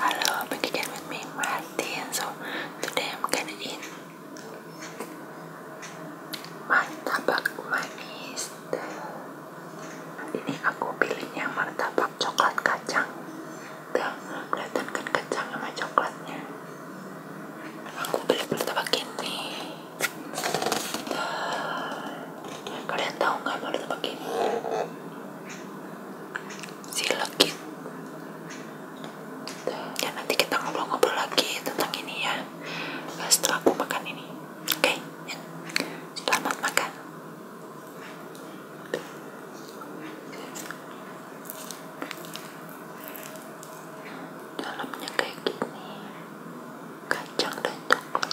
Hello, back again with me, Martin. So today I'm gonna eat martabak manis. Ini aku pilihnya martabak coklat kacang. Tuh, kelihatan kan kacang sama coklatnya. Aku beli martabak ini. Tuh. Kalian tahu nggak martabak ini? si legit ya nanti kita ngobrol-ngobrol lagi tentang ini ya setelah aku makan ini oke okay? Ya. selamat makan dalamnya kayak gini kacang dan coklat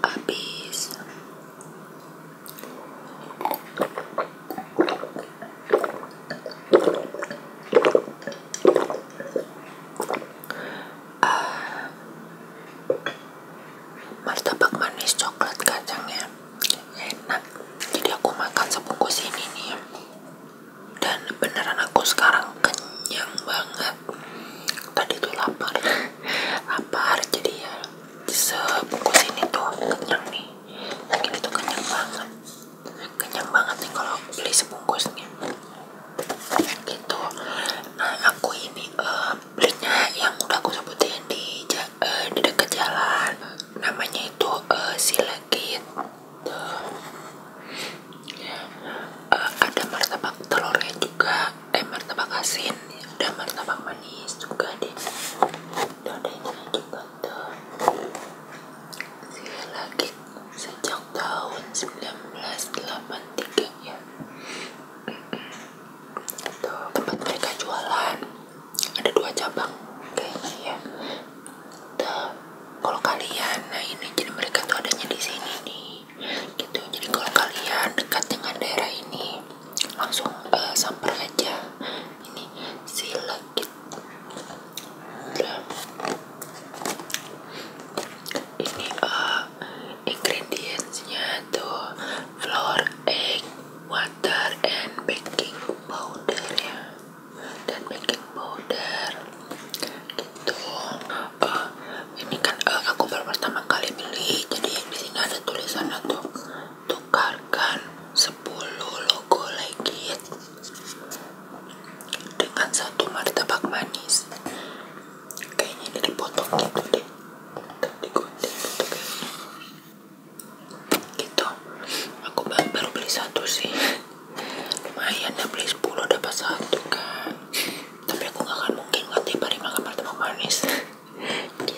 habis uh, martabak manis coklat kacangnya enak jadi aku makan sebungkus ini nih dan beneran aku sekarang kenyang banget tadi tuh lapar lapar jadi ya sebungkus ini tuh kenyang nih yang ini tuh kenyang banget kenyang banget nih kalau beli sebungkusnya gitu nah aku ini uh, belinya yang udah aku sebutin di uh, di dekat jalan namanya itu uh, silegit uh, ada martabak telurnya juga eh martabak asin ada martabak manis juga deh ada ini juga tuh silegit sejak tahun 1983 ya Tuh, tempat mereka jualan ada dua cabang kayaknya ya kalau kalian nah ini jadi mereka tuh adanya di sini nih gitu jadi kalau kalian dekat dengan daerah ini langsung uh, samper aja ini silekit ini uh, ingredientsnya tuh flour egg water and baking powder ya dan baking powder gitu eh, ini kan eh, aku baru pertama kali beli jadi di sini ada tulisan untuk tukarkan 10 logo legit dengan satu martabak manis kayaknya dari potong gitu deh digunting gitu kayaknya gitu aku baru beli satu sih lumayan ya beli 10 dapat satu kan tapi aku gak akan mungkin kan tiap hari makan martabak manis gitu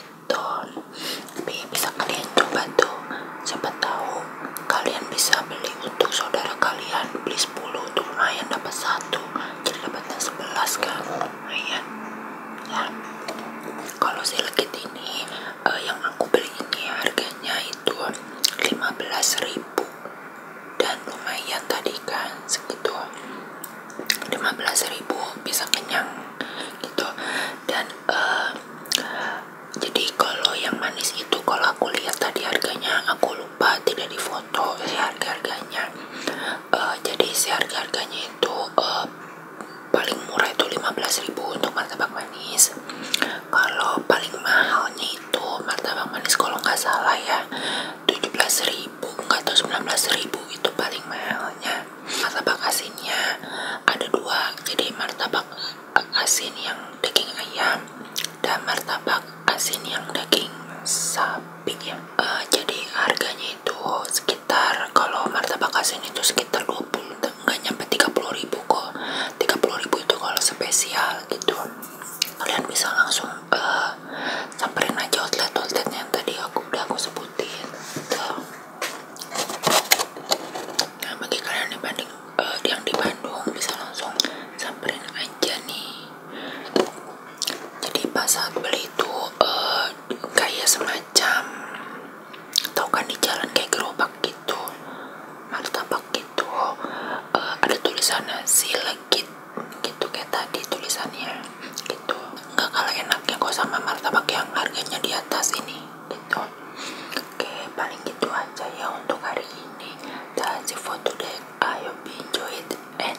tapi bisa kalian coba tuh siapa tahu kalian bisa beli untuk saudara kalian beli sepuluh, tuh lumayan dapat satu jadi dapatnya sebelas kan lumayan ya kalau si legit ini Eh, yang aku beli ini harganya itu 15.000 dan lumayan tadi kan segitu 15.000 bisa kenyang gitu dan eh, jadi kalau yang manis itu kalau aku lihat tadi harganya aku lupa tidak difoto si harga harganya eh, jadi si harga harganya itu paling murah itu 15.000 untuk martabak manis kalau paling mahalnya itu martabak manis kalau nggak salah ya 17.000 nggak 19.000 itu paling mahalnya martabak asinnya ada dua jadi martabak asin yang daging ayam dan martabak asin yang daging sapi ya uh, jadi harganya itu sekitar kalau martabak asin itu sekitar 20 nggak nyampe tiga puluh ribu kok tiga puluh ribu itu kalau spesial gitu kalian bisa langsung eh, samperin aja outlet-outlet yang tadi aku udah aku sebutin gitu. nah bagi kalian yang, banding, eh, yang di Bandung bisa langsung samperin aja nih jadi pas saat beli itu kayak eh, semacam tau kan di jalan kayak gerobak gitu martabak gitu uh, ada tulisannya silegit gitu kayak tadi tulisannya gitu nggak kalah enaknya kok sama martabak yang harganya di atas ini gitu oke paling gitu aja ya untuk hari ini that's it for today enjoy it and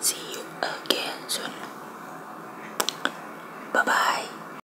see you again soon bye bye